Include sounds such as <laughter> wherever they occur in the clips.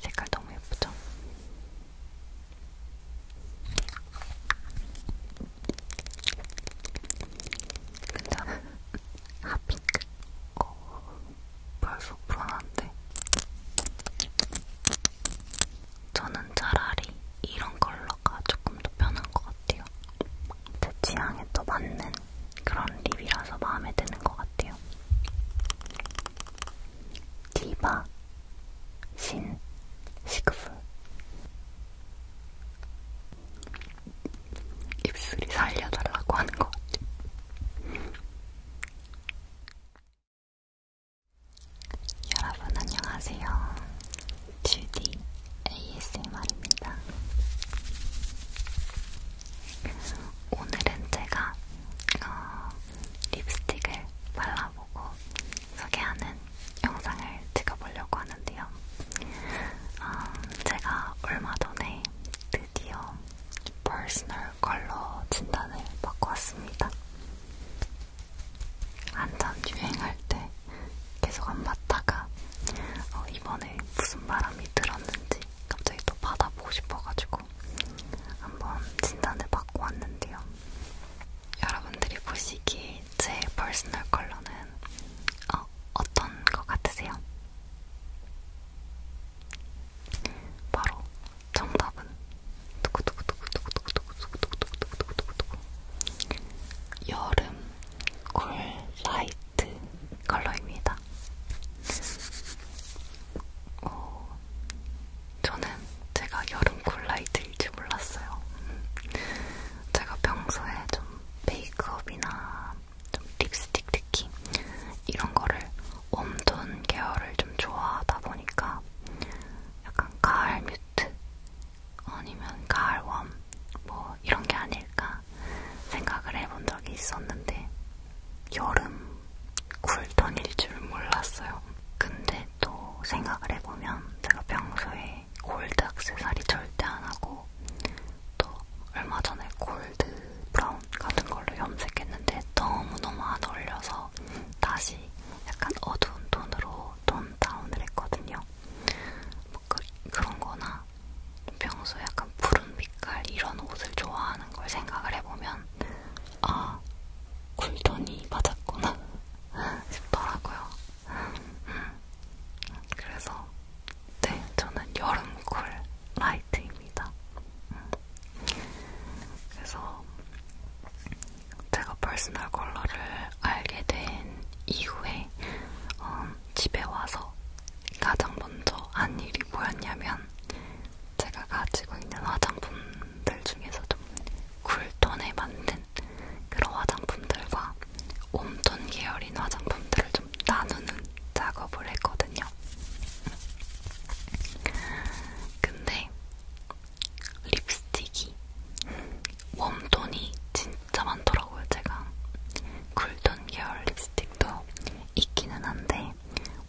색깔 너무 예쁘죠? 근데 핫핑크? 어, 벌써 불안한데? 저는 차라리 이런 컬러가 조금 더 편한 것 같아요. 제 취향에 또 맞는 그런 립이라서 마음에 드는 것 같아요. 디바 신 시그프 입술이 살려달라고 하는 것 같아. 여러분 안녕하세요. 주디 ASMR입니다. 오늘은 제가 어, 립스틱을 발라보고 소개하는 영상을 찍어보려고 하는데요. 음, 제가 얼마 전에 드디어 퍼스널 컬러 진단을 받고 왔습니다. 한참 유행할 때 계속 안 받다가 어, 이번에 무슨 바람이 들었는지 갑자기 또 받아보고 싶어가지고 한번 진단을 받고 왔는데요. 여러분들이 보시기에 제 퍼스널 컬러는 어, 어떤 것 같으세요? 바로 정답은 두구두구두구두구두구두구두구두구두구두구두구 여름 쿨 라이트 컬러입니다. 어, 저는 제가 여름 콜라이드일지 몰랐어요. 제가 평소에 좀 메이크업이나 좀 립스틱 특히 이런 거를 웜톤 계열을 좀 좋아하다 보니까 약간 가을 뮤트 아니면 가을 웜 뭐 이런 게 아닐까 생각을 해본 적이 있었는데 여름 쿨톤일 줄 몰랐어요. 근데 또 생각을 해보면 제가 평소에 골드 액세서리 절대 안 하고 또 얼마 전에 골드 브라운 같은 걸로 염색했는데 너무너무 안 어울려서 다시 약간 어두운 톤으로 톤 다운을 했거든요. 뭐 그, 그런 거나 평소에 약간 푸른빛 색깔 이런 옷을 좋아하는 걸 생각을 해보면 아 쿨톤이 맞았구나 <laughs> 싶더라고요. 그래서 네 저는 여름쿨 라이트입니다. 그래서 제가 퍼스널 컬러를 알게 된 이후에 어, 집에 와서 가장 먼저 한 일이 뭐였냐면 제가 가지고 있는 화장품들 중에서도 쿨톤에 맞는 그런 화장품들과 웜톤 계열인 화장품들을 좀 나누는 작업을 했거든요. 근데 립스틱이 웜톤이 진짜 많더라고요, 제가. 쿨톤 계열 립스틱도 있기는 한데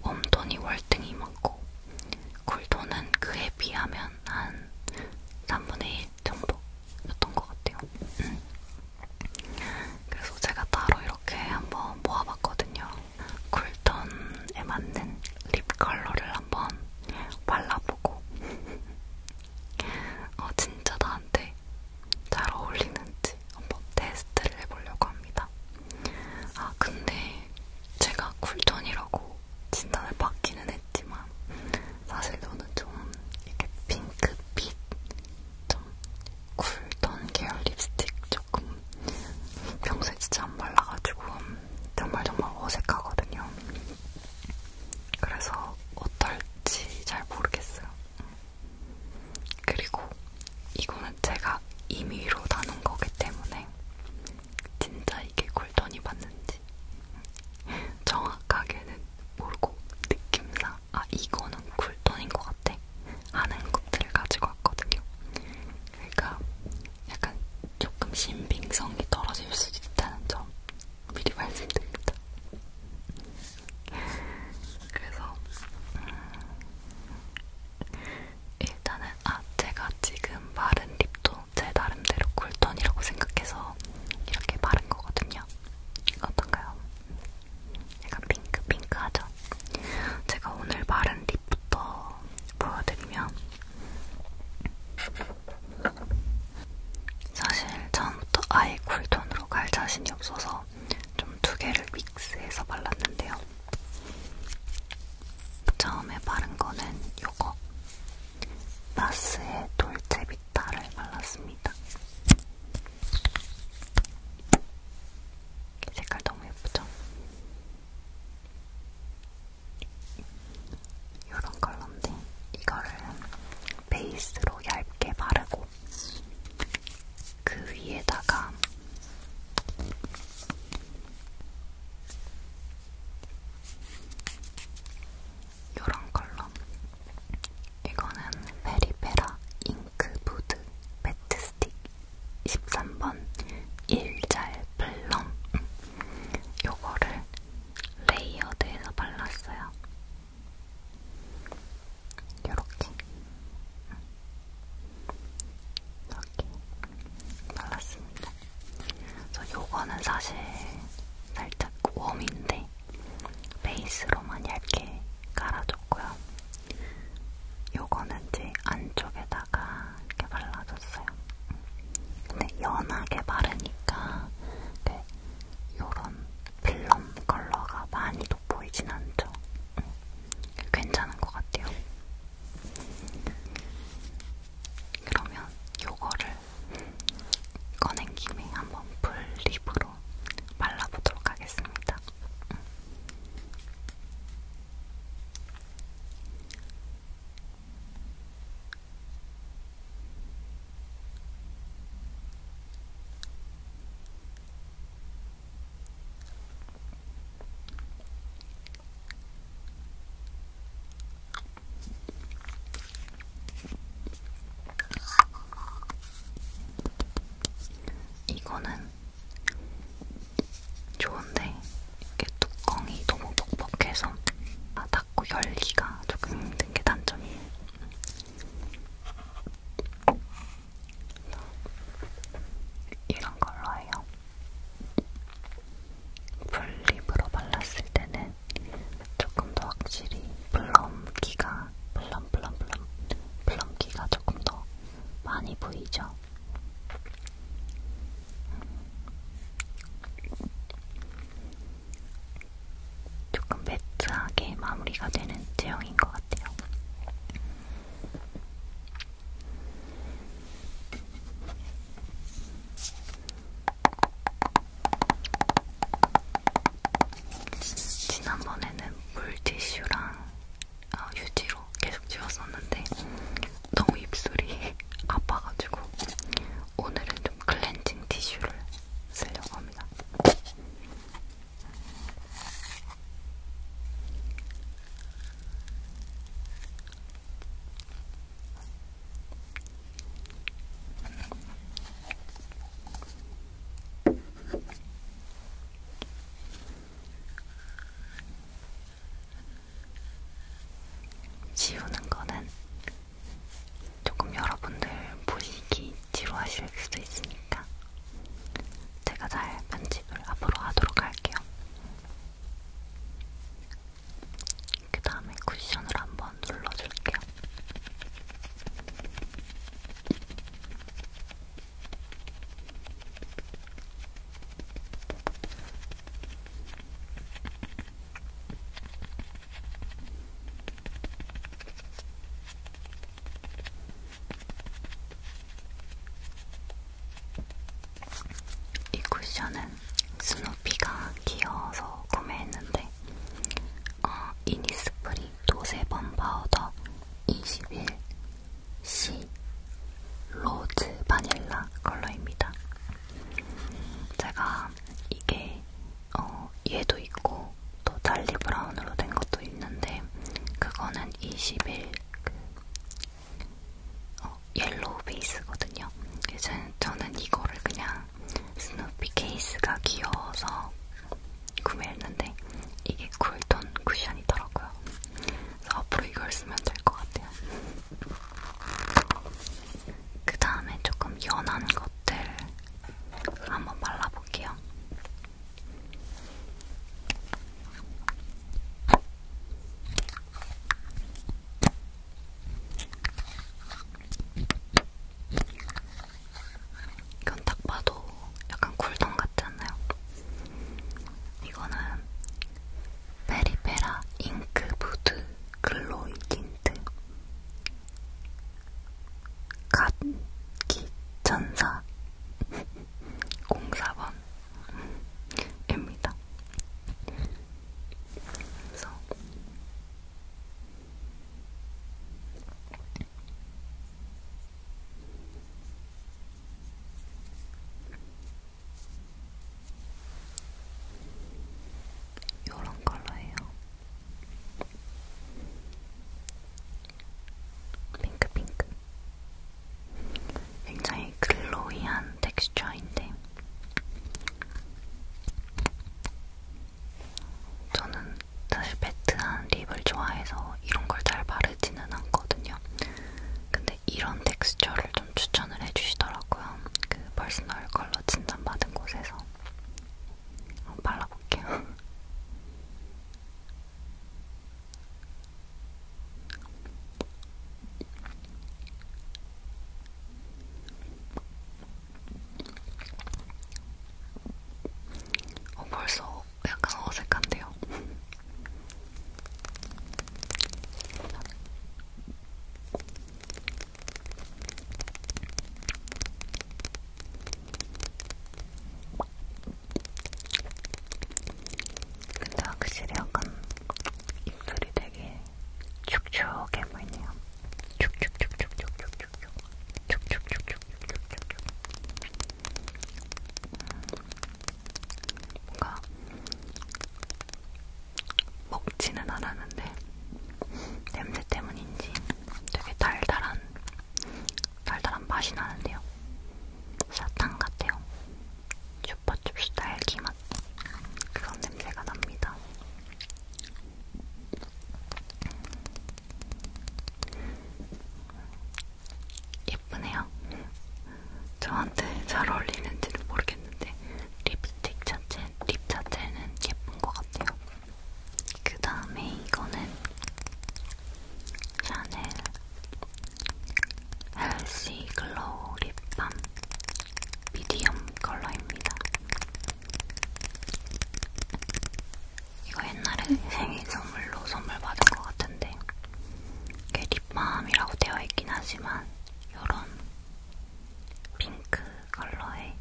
웜톤이 월등히 많고 쿨톤은 그에 비하면 한 3분의 1 정도였던 것 같아요. 음. 그래서 제가 따로 이렇게 한번 모아봤거든요. 쿨톤에 맞는 립 컬러를 한번 발라보고 <laughs> 어, 진짜 나한테 잘 어울리는지 있는지 한번 테스트를 해보려고 합니다. 아, 근데 제가 쿨톤이라고 진단을 받기는 했지만 사실 저는 좀 이렇게 핑크빛 좀 쿨톤 계열 립스틱 조금 평소에 진짜 안 발라가지고 정말 정말 어색하거든요. 그래서 어떨지 잘 모르겠어요. 그리고 이거는 제가 임의로 나눈 거기 때문에 진짜 이게 쿨톤이 맞는지 정확하게는 모르고 느낌상 아 이거는 쿨톤인 것 같아 하는 것들을 가지고 왔거든요. 그러니까 약간 조금 신빙성이 떨어질 수 있다는 점 미리 말씀드립니다. 그래서 음, 일단은 아 제가 지금 바른 립도 제 나름대로 쿨톤이라고 생각해서 이렇게 바른 거거든요. 어떤가요? 약간 핑크 핑크하죠? 제가 오늘 바른 립부터 보여드리면 사실 처음부터 아예 쿨톤으로 갈 자신이 없어서 좀 두 개를 믹스해서 발랐는데요. 처음에 바른 거는 요거 나스의 돌체비타를 발랐습니다. 색깔 너무 예쁘죠? 이런 컬러인데 이거를 베이스로 얇게 바르고 그 위에다가 요런 컬러 이거는 페리페라 잉크 무드 매트 스틱 13번 일잘 플럼 요거를 레이어드해서 발랐어요. 요렇게 이렇게 발랐습니다. 그래서 요거는 사실 살짝 웜인데 베이스로만 얇게 깔아줬고요. 요거는 이제 안쪽에다가 이렇게 발라줬어요. 근데 연하게 바르니까 요런 필름 컬러가 많이 돋보이진 않죠. 응. 괜찮은 것 같아요. 그러면 요거를 꺼낸 김에 한번 풀립으로 발라보도록 하겠습니다. 이거는 좋은데 이게 뚜껑이 너무 뻑뻑해서 아, 닫고 열기가 조금 힘든 게 단점이에요. 이런 걸로 해요. 풀립으로 발랐을 때는 조금 더 확실히 플럼기가 플럼 플럼 플럼 플럼기가 조금 더 많이 보이죠. 조금 매트하게 마무리가 되는 제형인 것 같아요. 지난번에는 물티슈랑 어, 휴지로 계속 지웠었는데 너무 입술이 <laughs> 아파가지고 오늘은 좀 클렌징 티슈를 쓰려고 합니다. 지우는 거는 조금 여러분들 보시기 지루하실 수도 있으니까 제가 잘 편집을 앞으로 하도록 할게요. 그 다음에 쿠션을 한번 눌러줄게요. 이 쿠션은 스누피가 귀여워서 구매했는데 어, 이니스프리 도세범 파우더 21C 로즈 바닐라 컬러입니다. 제가 이게 어, 얘도 있고 또 달리 브라운으로 된 것도 있는데 그거는 20일 그 어, 옐로우 베이스거든요. 그래서 저는 이거를 그냥 스누피 케이스가 귀여워서 구매했는데 이게 쿨톤 쿠션이더라고요. 그래서 앞으로 이걸 쓰면 될 것 같아요. 그 다음에 조금 연한 것들 한번 발라볼게요. 이건 딱 봐도 약간 쿨동 같지 않나요? 이거는 페리페라 잉크 무드 글로이 틴트 갓기 천사 04번입니다. 그래서 요런 컬러예요. 핑크 핑크. 굉장히 글로이한 텍스처인데 저는 사실 매트한 립을 좋아해서 이런 걸 잘 바르지는 않거든요. 근데 이런 텍스처를 좀 추천을 해주시더라고요. 그 퍼스널 컬러 진단받은 곳에서. 발라볼게요. 어, 벌써 약간 어색한데요. 근데 확실히 약간 입술이 되게 축축해 보이네요. 축축축축축축축축. 축축축축축축축. 음, 뭔가 먹지는 않았는데 냄새 때문인지 되게 달달한 달달한 맛이 나는데요. 사탕 같아요. 슈퍼춥스 딸기 맛. 그런 냄새가 납니다. 예쁘네요. 저한테 잘 어울리는지는 모르겠는데 립스틱 자체, 립 자체는 예쁜 것 같아요. 그 다음에 이거는 샤넬 헬시 글로우 립밤 미디엄 컬러입니다. 이거 옛날에 생일 선물로 선물 받은 것 같은데 이게 립밤이라고 되어 있긴 하지만 요런 핑크 컬러의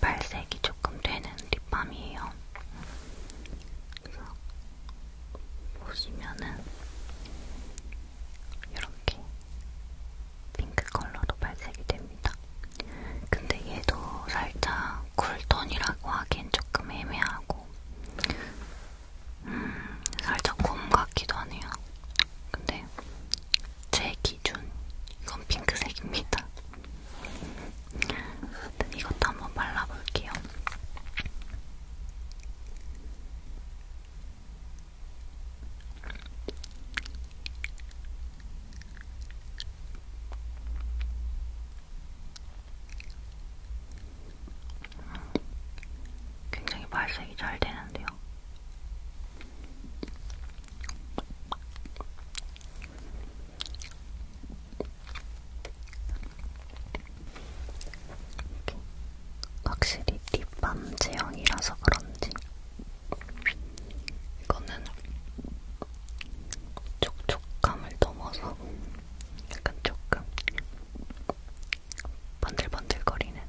발색이 조금 되는 립밤이에요. 그래서 보시면은 이렇게 핑크 컬러로 발색이 됩니다. 근데 얘도 살짝 쿨톤이라고 하기엔 조금 애매하고 음, 살짝 곰 같기도 하네요. 근데 제 기준 이건 핑크색입니다. 네, 이것도 한번 발라볼게요. 굉장히 발색이 잘 되는데요. 이렇게. 확실히 립밤 제형이라서 그런지 이거는 촉촉감을 넘어서 약간 조금 반들반들거리는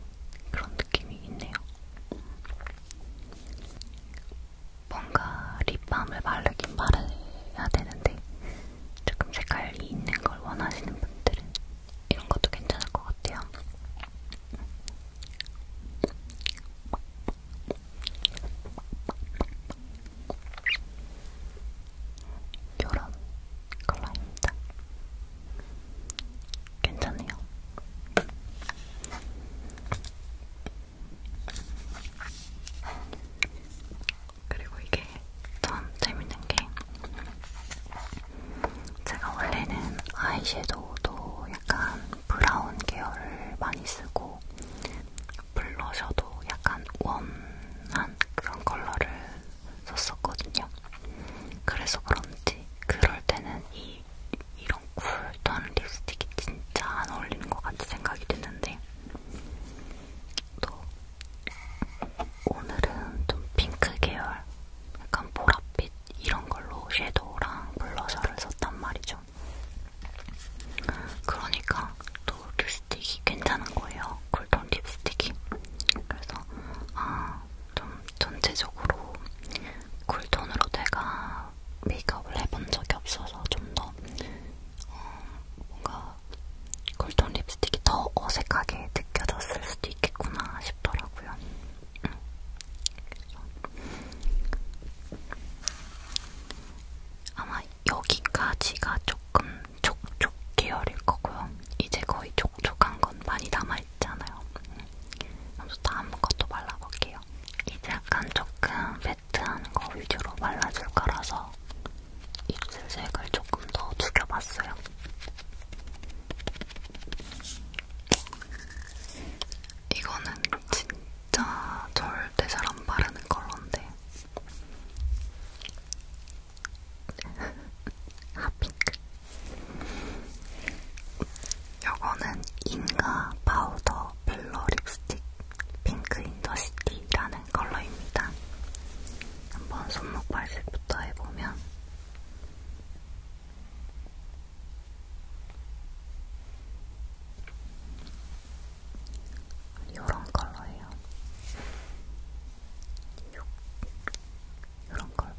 그런 느낌이 있네요. 뭔가 립밤을 바르긴 바르야 되는데 조금 색깔이 있는 걸 원하시는 분들은 이런 것도 괜찮을 것 같아요. 요런 컬러입니다. 괜찮네요. 그리고 이게 참 재밌는 게 제가 원래는 아이섀도우도 약간 브라운 계열을 많이 쓰고 블러셔도 약간 웜한 그런 컬러를 썼었거든요. 그래서 그런지 그럴 때는 이 이런 쿨톤 립스틱이 진짜 안 어울리는 것 같이 생각이 드는데 또 오늘은 좀 핑크 계열, 약간 보랏빛 이런 걸로 섀도우랑 블러셔를 썼단 말이죠. 그러니까 또 립스틱이 괜찮은 거예요. 쿨톤 립스틱이. 그래서 아, 좀 전체적으로 쿨톤으로 내가 메이크업을 해본 적이 없어서 좀더 어, 뭔가 콜톤 립스틱이 더 어색하게 느껴졌을 수도 있겠구나 싶더라고요. 음. 그래서 아마 여기까지가 조금 촉촉 계열일 거고요. 이제 거의 촉촉한 건 많이 남아있잖아요. 음. 그래서 다음 것도 발라볼게요. 이제 약간 조금 매트한 거 위주로 발라줄 거라서 입술색을 조금 더 죽여봤어요. 이거는 진짜 절대 잘 안 바르는 컬러인데 <laughs> 핫핑크 요거는 인가 파우더 블러 립스틱 핑크 인더시티라는 컬러입니다. 한번 손목 발색부터 해보면 이런 컬러예요. 이런 컬러.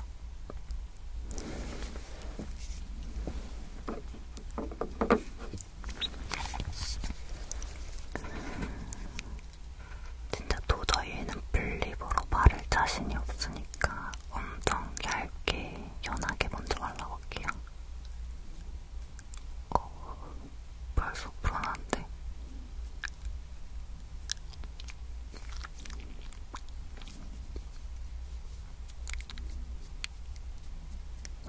진짜 도저히 얘는 분립으로 바를 자신이 없으니까 엄청 얇게, 연하게 먼저 발라볼게요. 어, 벌써 불안한데?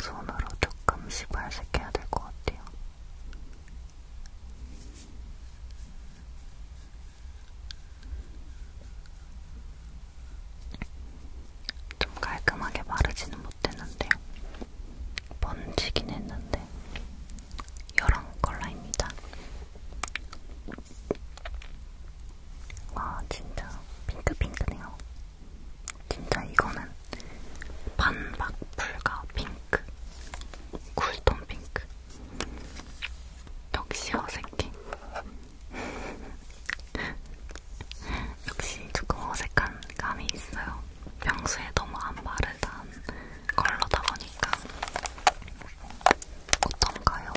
손으로 조금씩 발색해야 될 것 같아요. 좀 깔끔하게 마르지는 못했는데 번지긴 했는데 이런 컬러입니다. 와 진짜 핑크핑크네요. 진짜 이거는 반박 불가 핑크 쿨톤 핑크 역시 어색해 <laughs> 역시 조금 어색한 감이 있어요 평소에 너무 안 바르던 컬러다 보니까 어떤가요?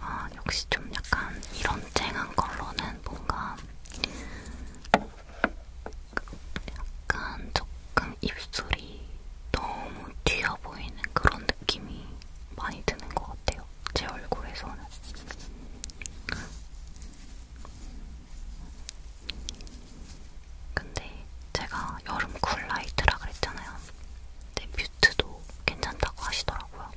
아, 역시 좀 약간 이런 쨍한 컬러는 뭔가 약간 조금 입술이 너무 튀어 보이는 그런 느낌이 많이 드는 것 같아요. 제 얼굴에서는. 근데 제가 여름 쿨라이트라 그랬잖아요. 근데 네, 뮤트도 괜찮다고 하시더라고요.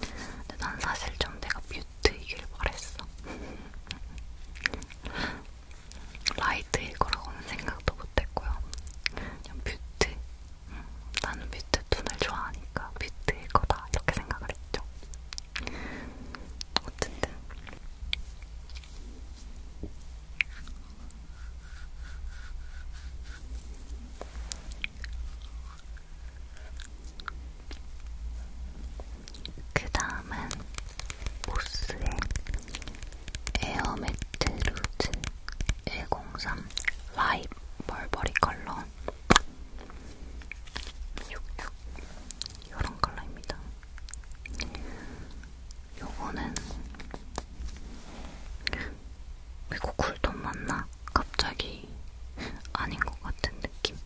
근데 난 사실 좀 내가 뮤트이길 바랬어. <laughs> 라이트일 거라고는 생각도 못했고요. 그냥 뮤트. 음, 나는 뮤트 톤을 좋아하니까 뮤트일 거다 이렇게 생각을 했죠. 어쨌든. 그 다음은 보스의 에어매트 루즈 103 라이브 멀버리 컬러 66 이런 컬러입니다. 요거는 미국 쿨톤 맞나? 갑자기 아닌 것 같은 느낌.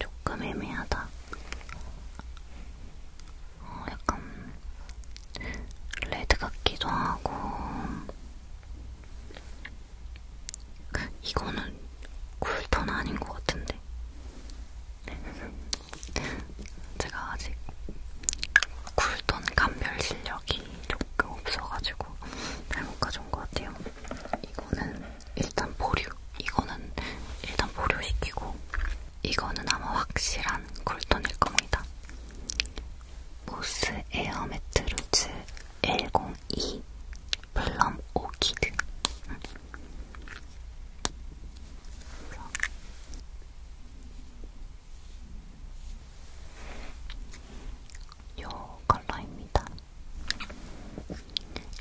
조금 애매하다. 어, 약간 레드 같기도 하고 이거는 쿨톤 아닌 것 같은데 <laughs> 제가 아직 굴던 감별 실력이 조금 없어가지고 잘못 가져온 것 같아요. 이거는 일단 보류. 이거는 일단 보류시키고 이거는 아마 확실한 굴톤일 겁니다. 모스 에어매트 루즈 L02 플럼 오키드. 음. 요 컬러입니다.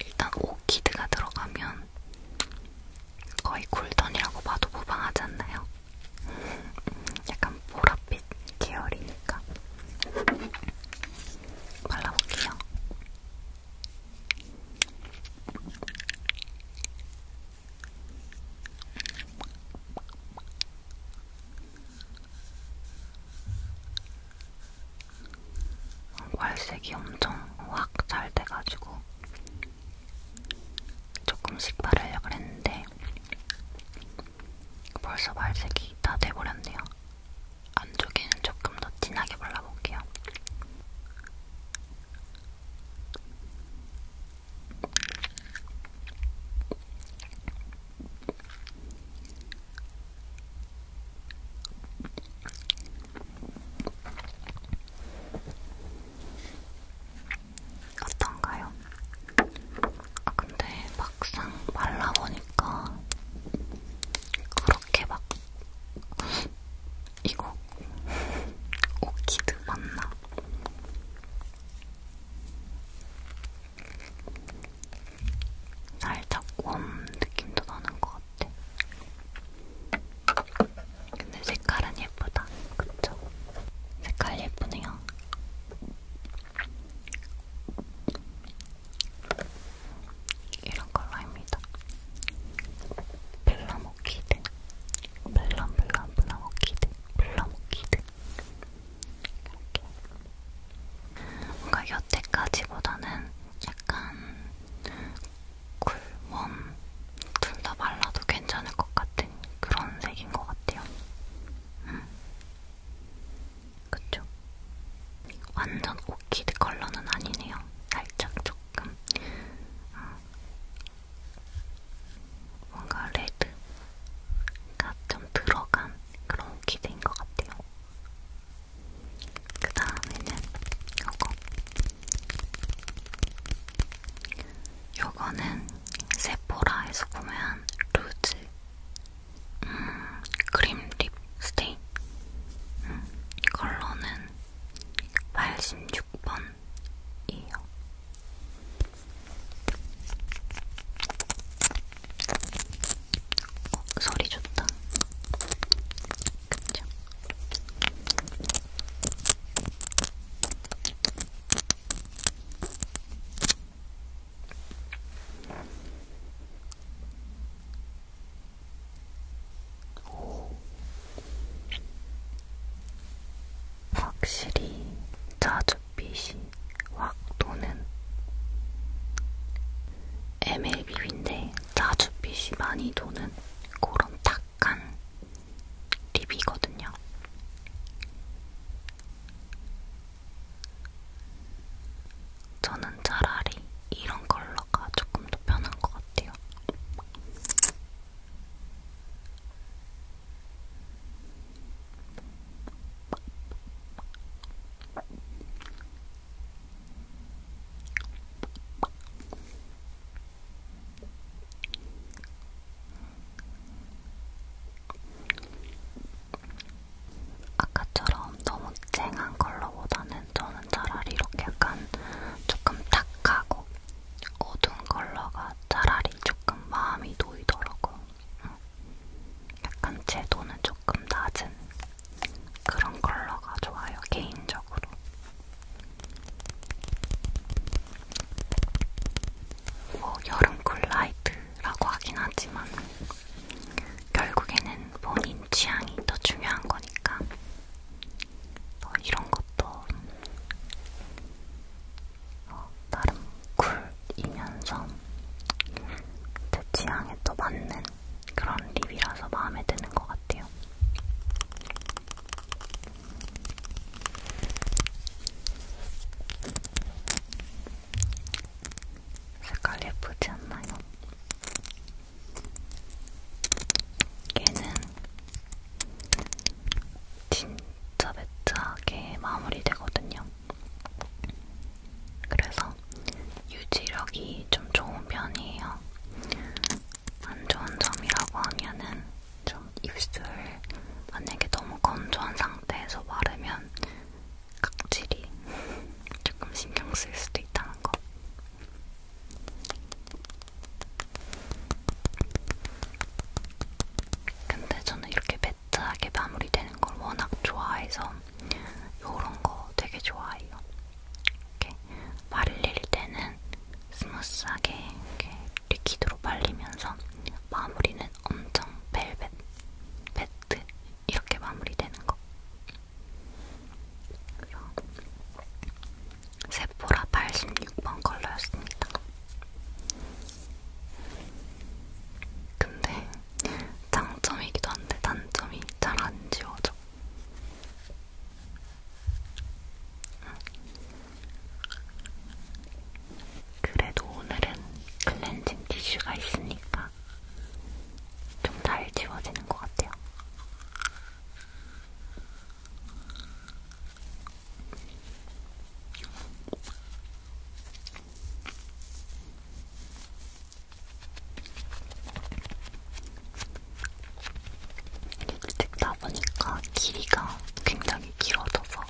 일단 오키드가 들어가면 거의 쿨톤이라고 봐도 무방하지 않나요? <laughs> 약간 보랏빛 계열이니까 발라볼게요. 괄색이 엄청 확 잘 돼가지고 조금씩 바르려고 했는데 벌써 발색이 다 돼버렸네요. 안쪽에는 조금 더 진하게 발라볼게요. 어떤가요? 아, 근데 막상 발라보니까 그렇게 막 이거 <laughs> 오키드 맞나? 살짝 웜 느낌도 나는 것 같아. 근데 색깔은 예쁘다. 그쵸? 색깔 예쁘네요. 이런 컬러입니다. 블럼 오키드, 블럼 블럼 블럼 오키드, 블럼 오키드. 이렇게. 뭔가 여태까지보다는 약간 쿨웜 둘다 발라도 괜찮을 것 같은 그런 색인 것 같아요. 음. 그쵸? 완전 오키드 컬러는 아니네요. 살짝 조금 어, 뭔가 레드가 좀 들어간 그런 오키드인 것 같아요. 그 다음에는 요거 요거는 세포라에서 구매한 루즈 음, 크림 립 스테인 음, 컬러는 86번이에요. 어, 소리 좋다. 그쵸? 확실히 자줏빛이 확 도는 MLB인데 자줏빛이 많이 도는 그런 탁한 립이거든요. 저는 차라리 이런 컬러가 조금 더 편한 것 같아요. 아까처럼 너무 쨍한 컬러보다는 저는 차라리 이렇게 약간 조금 탁하고 어두운 컬러가 차라리 조금 마음이 놓이더라고요. 약간 채도는 조금 낮은 그런 컬러가 좋아요, 개인적으로. 뭐 여름 쿨라이트라고 하긴 하지만 결국에는 본인 취향이 더 중요한 거니까 뭐 이런 것도 어, 나름 쿨이면서 제 취향에 또 맞는 그런 립이라서 마음에 드는 것 같아요. 색깔 예쁘지 않나요? 얘는 진짜 매트하게 마무리되거든요. 그래서 유지력이 좀 좋은 편이에요. 안 좋은 점이라고 하면은 좀 입술 만약에 너무 건조한 상태에서 바르면 각질이 <laughs> 조금 신경 쓸 수도 있다는 거. 근데 저는 이렇게 매트하게 마무리되는 걸 워낙 좋아해서 요런 거 되게 좋아해요. 이렇게 말릴 때는 스무스하게 이렇게 리퀴드로 말리면서 마무리는 엄청 벨벳, 매트 이렇게 마무리되는 거 그럼 세포라 86번 컬러였습니다. 근데 장점이기도 한데 단점이 잘 안 지워져. 그래도 오늘은 클렌징 티슈가 있으니까 보니까 좀잘 지워지는 것 같아요. 찍다 보니까 길이가 굉장히 길어져서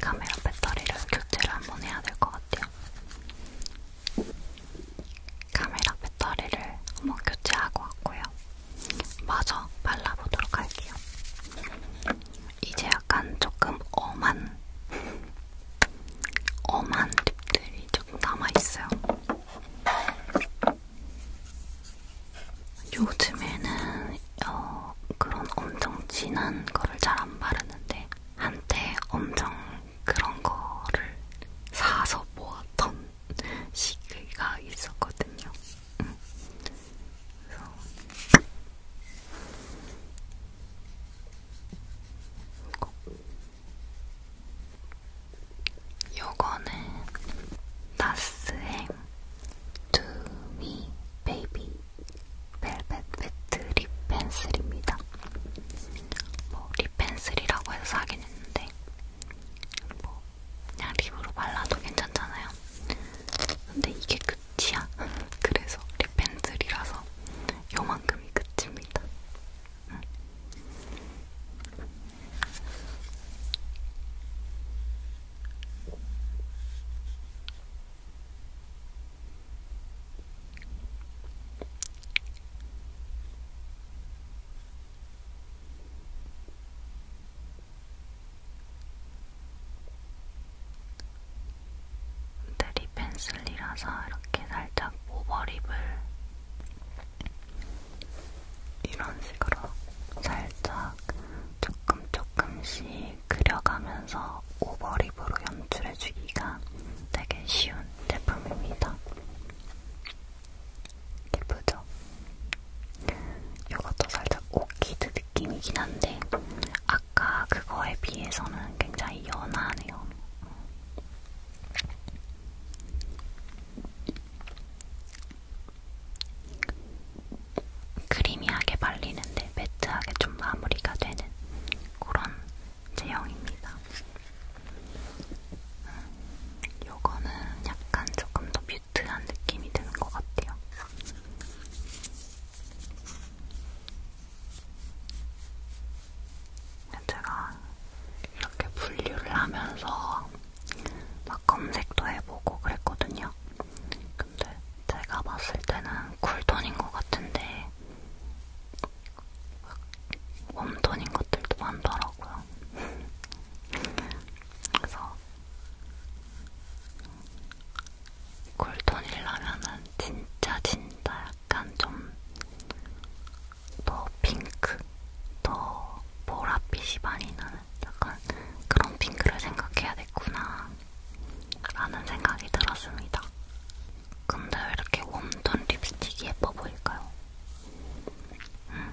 카메라 배터리를 교체를 한번 해야 될 것 같아요. 카메라 배터리를 한번 교체하고 왔고요. 마저 발라보도록 할게요. 이제 약간 조금 엄한, 엄한 립들이 조금 남아있어요. 요즘에는 어, 그런 엄청 진한 거를 잘 안 바르는데 한때 엄청 그런 거를 사서 모았던 시기가 있었거든요. 응. 음. 그래서 요거는 나스의 To Me Baby 벨벳 매트 립 펜슬입니다. 뭐 립 펜슬이라고 해서 사긴 했는데 뭐 그냥 립으로 발라도 괜찮잖아요. 근데 이게 끝이야. <laughs> 그래서 립 펜슬이라서 요만큼이 끝입니다. 응. 음. 드립 펜슬이라서 이렇게 살짝 오버립을 이런 식으로 살짝 조금 조금씩 그려가면서 오버립으로 연출해주기가 되게 쉬운 제품입니다. 예쁘죠? 이것도 살짝 오키드 느낌이긴 한데 아까 그거에 비해서는 굉장히 연하네요. 크리미하게 발리는데 이제 네, 매트하게 좀 마무리가 되는 그런 제형입니다. 음, 요거는 음, 약간 조금 더 뮤트한 느낌이 드는 것 같아요. 제가 이렇게 분류를 하면서 막 검색도 해보고 그랬거든요. 근데 제가 봤을 때는 쿨톤인 것 같은데 웜톤인 것들도 많더라고요. 그래서 쿨톤이라면은 진짜 진짜 약간 좀 더 핑크, 더 보랏빛이 많이 나는 약간 그런 핑크를 생각해야 됐구나. 라는 생각이 들었습니다. 근데 왜 이렇게 웜톤 립스틱이 예뻐 보일까요? 음.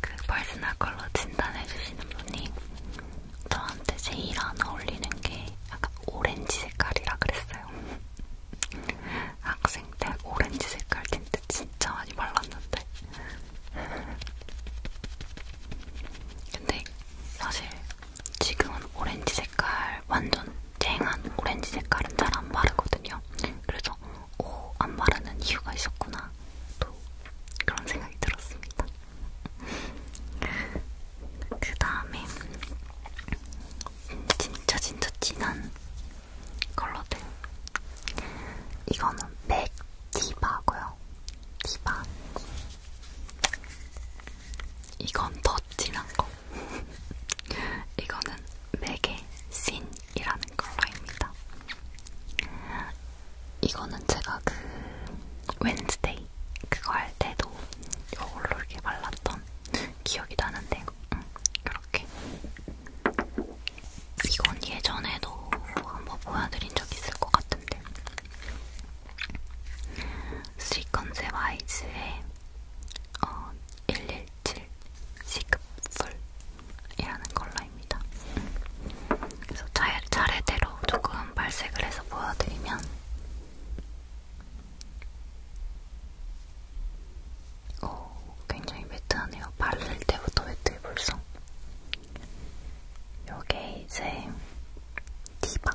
그 퍼스널 컬러 진단해주시는 분이 저한테 제일 안 어울리는 게 약간 오렌지 색깔이라 그랬어요. 학생 때 오렌지 색깔 틴트 진짜 많이 발랐는데 근데 사실 지금은 오렌지 색깔 완전 쨍한 오렌지 색깔은 잘 안 바르거든요. 그래서 오, 안 바르는 이유가 있었구나 또 그런 생각이 들었습니다. 그 다음에 음, 진짜 진짜 진한 컬러들. 이거는 맥 디바고요. 디바. 이건 더 진한 거. <laughs> 이거는 맥의 신이라는 컬러입니다. 이거는 제가 그 웬스데이 그거 할 때도 이걸로 이렇게 발랐던 기억이 나는데, 음, 이렇게 이건 예전에도 한번 보여드린 적 있을 것 같은데 스리컨셉 아이즈의 어, 117 시급풀이라는 컬러입니다. 그래서 차례, 차례대로 조금 발색을 해서 보여드리면 어, 굉장히 매트하네요. 바를 때부터 매트해 벌써. 요게 이제 디바.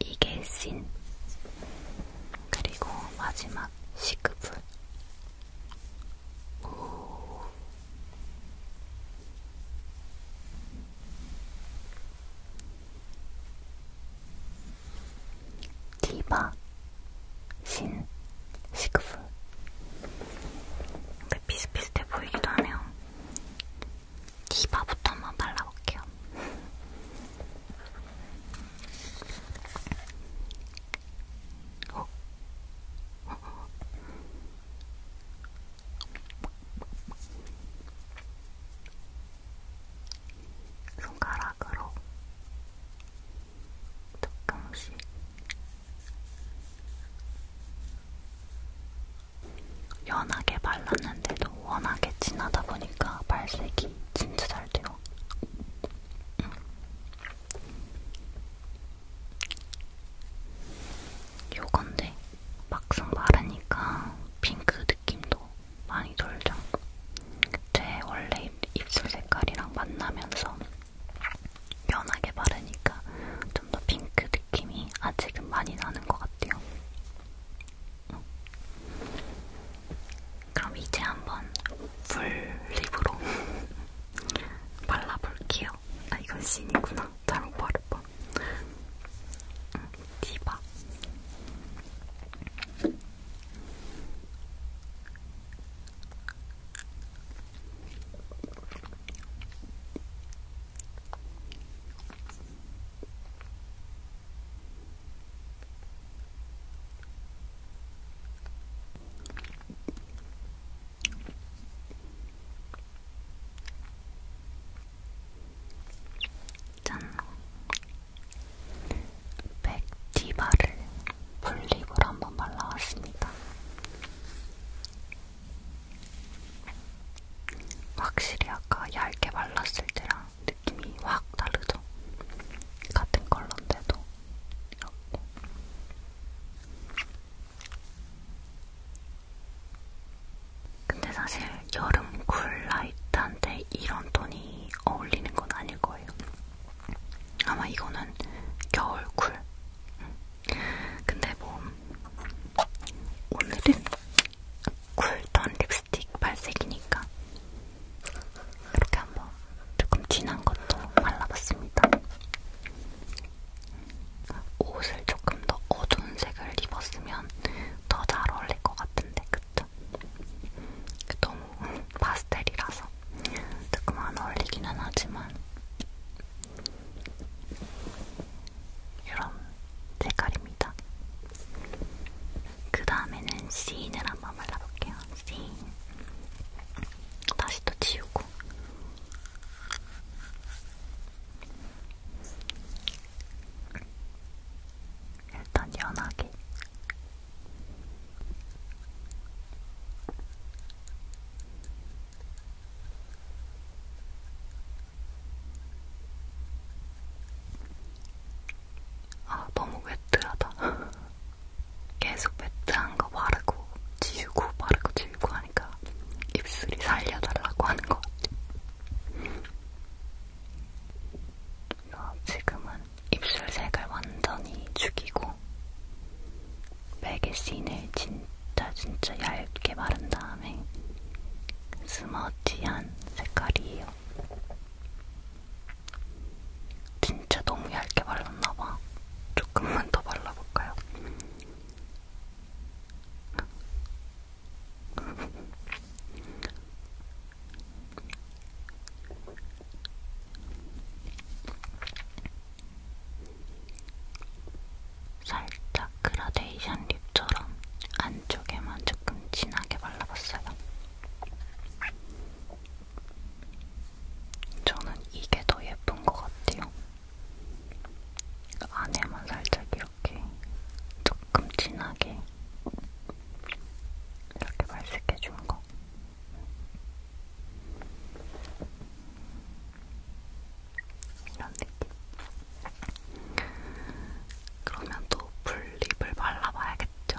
이게 씬 그리고 마지막 시크풀 디바 신 시그프 근데 비슷비슷해 보이기도 하네요. 디바부터 한번 발라볼게요. 손가락으로 조금씩 연하게 발랐는데도 워낙에 진하다 보니까 발색이 진짜 잘 돼요. 음. 요건데 막상 바르니까 핑크 느낌도 많이 돌죠. 제 원래 입술 색깔이랑 만나면서 연하게 바르니까 좀 더 핑크 느낌이 아직은 많이 나는 것 같아요. 그럼 이제 한번 풀립으로 <laughs> 발라볼게요. 아 이건 신이구나. 잘못 바를뻔. 디바. 짠! 백티바를 풀립으로 한번 발라왔습니다. 확실히 아까 얇게 발랐을 때랑 느낌이 확 다르죠? 같은 컬러인데도 이렇게 근데 사실 여름 쿨라이트한테 이런 톤이 어울리는 건 아닐 거예요. 아마 이거는 겨울 쿨. 근데 뭐 오늘은 쿨톤 립스틱 발색이니까 이렇게 한번 조금 진한 것도 발라봤습니다. 옷을 조금 더 어두운 색을 입었으면 더 잘 어울릴 것 같은데, 그쵸? 너무 파스텔이라서 조금 안 어울리기는 하지만 이런 색깔입니다. 그 다음에는 시인을 한번 발라볼게요. 다시 다시 또 지우고 일단 연하게 아, 너무 웨트하다. <laughs> 계속 매트한 거 바르고 지우고 바르고 지우고 하니까 입술이 살려달라고 하는 것 같아요. 지금은 입술 색을 완전히 죽이고 매개신을 진짜 진짜 얇게 바른 다음에 스머지한 색깔이에요. 진짜 너무 얇게 발랐나봐. 조금만 더 발라볼까요? <laughs> 살짝 그라데이션 립처럼 안쪽에만 조금 진하게 발라봤어요. 저는 이게 더 예쁜 것 같아요. 안에만 살짝 이렇게 조금 진하게 이렇게 발색해 준 거. 이런 느낌. 그러면 또 풀립을 발라봐야겠죠.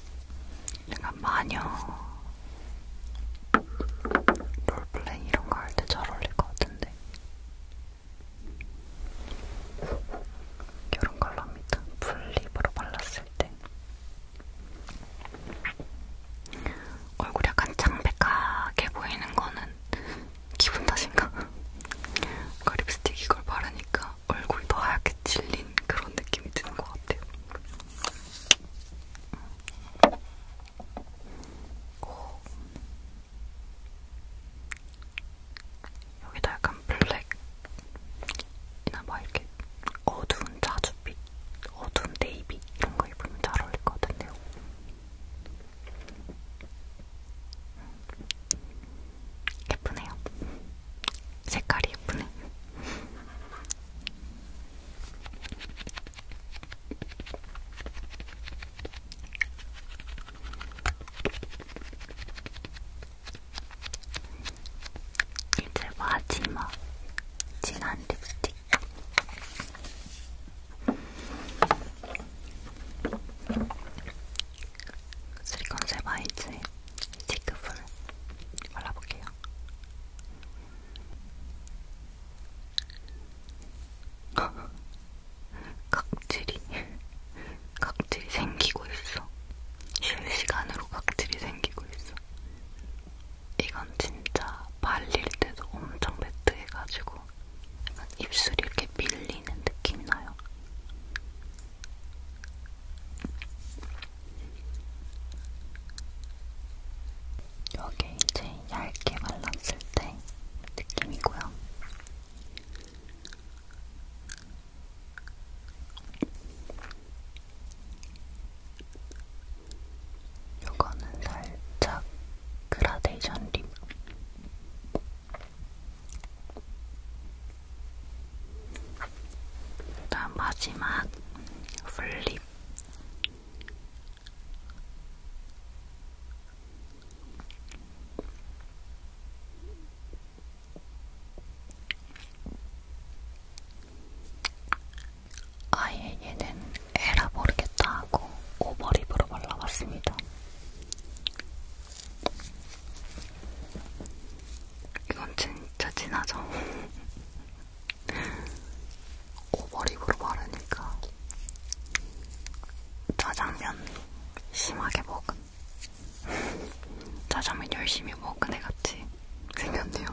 약간 마녀 롤플레잉 이런 거 할 때 잘 어울릴 것 같은데 이런 컬러입니다. 풀립으로 발랐을 때 얼굴이 약간 창백하게 보이는 거는 기분 탓인가? <laughs> 그 립스틱 이걸 바르니까 얼굴도 하얗게 질린 그런 느낌이 드는 것 같아요. 오. 어. 여기다 약간 블랙이나 막 뭐 이렇게 어두운 자주빛, 어두운 네이비 이런 거 입으면 잘 어울릴 것 같은데요. 음. 예쁘네요. 색깔이 예쁘네. 이제 마지막 진한 립스틱. 쓰리컨셀 바이즈의 C급을 발라볼게요. <laughs> 각질이 각질이 생기고 있어. 실시간으로 각질이 생기고 있어. 이건 진짜 발릴 때도 엄청 매트해가지고 입술이 이렇게 밀리는 느낌 나요. 여기 이제 얇게 발랐을 때 느낌이고요. 요거는 살짝 그라데이션 립. 그다음 마지막 플립. 아예 얘는 에라 모르겠다 하고 오버립으로 발라봤습니다. 이건 진짜 진하죠? <laughs> 오버립으로 바르니까 짜장면 심하게 먹은 <laughs> 짜장면 열심히 먹은 애같이 생겼네요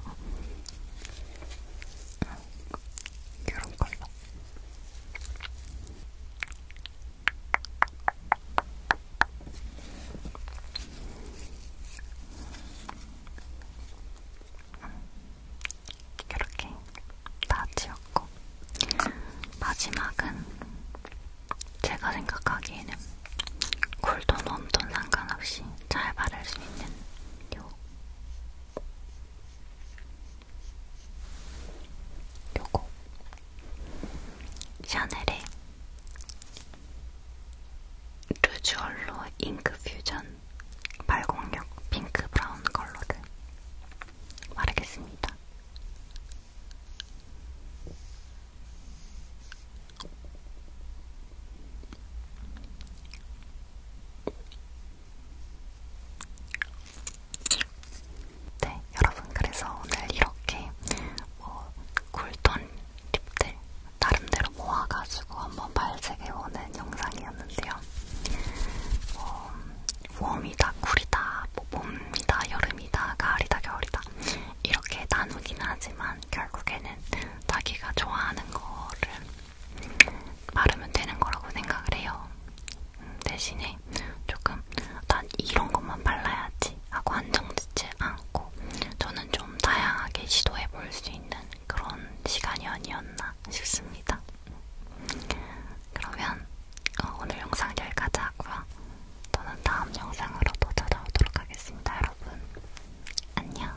이런 <laughs> 걸로 이렇게 다 지웠고 마지막은 제가 생각하기에는 굴돈 웜돈 상관없이 잘 바를 수 있는 요 요거 샤넬의 루즈얼로 잉크 퓨전 발공력 핑크 브라운 컬러를 바르겠습니다. 네, 여러분 그래서 오늘 이렇게 뭐 쿨톤 팁들 나름대로 모아가지고 한번 발색해보는 영상이었는데요. 어, 웜이다, 쿨이다, 뭐 봄이다, 여름이다, 가을이다, 겨울이다 이렇게 나누긴 하지만 결국에는 자기가 좋아하는 거를 바르면 되는 거라고 생각을 해요. 음, 대신에 조금 난 이런 것만 발라야지 하고 한정짓지 않고 저는 좀 다양하게 시도해 볼 수 있는 그런 시간이 아니었나 싶습니다. 그러면 어, 오늘 영상 여기까지 하고요. 저는 다음 영상으로 또 찾아오도록 하겠습니다. 여러분 안녕.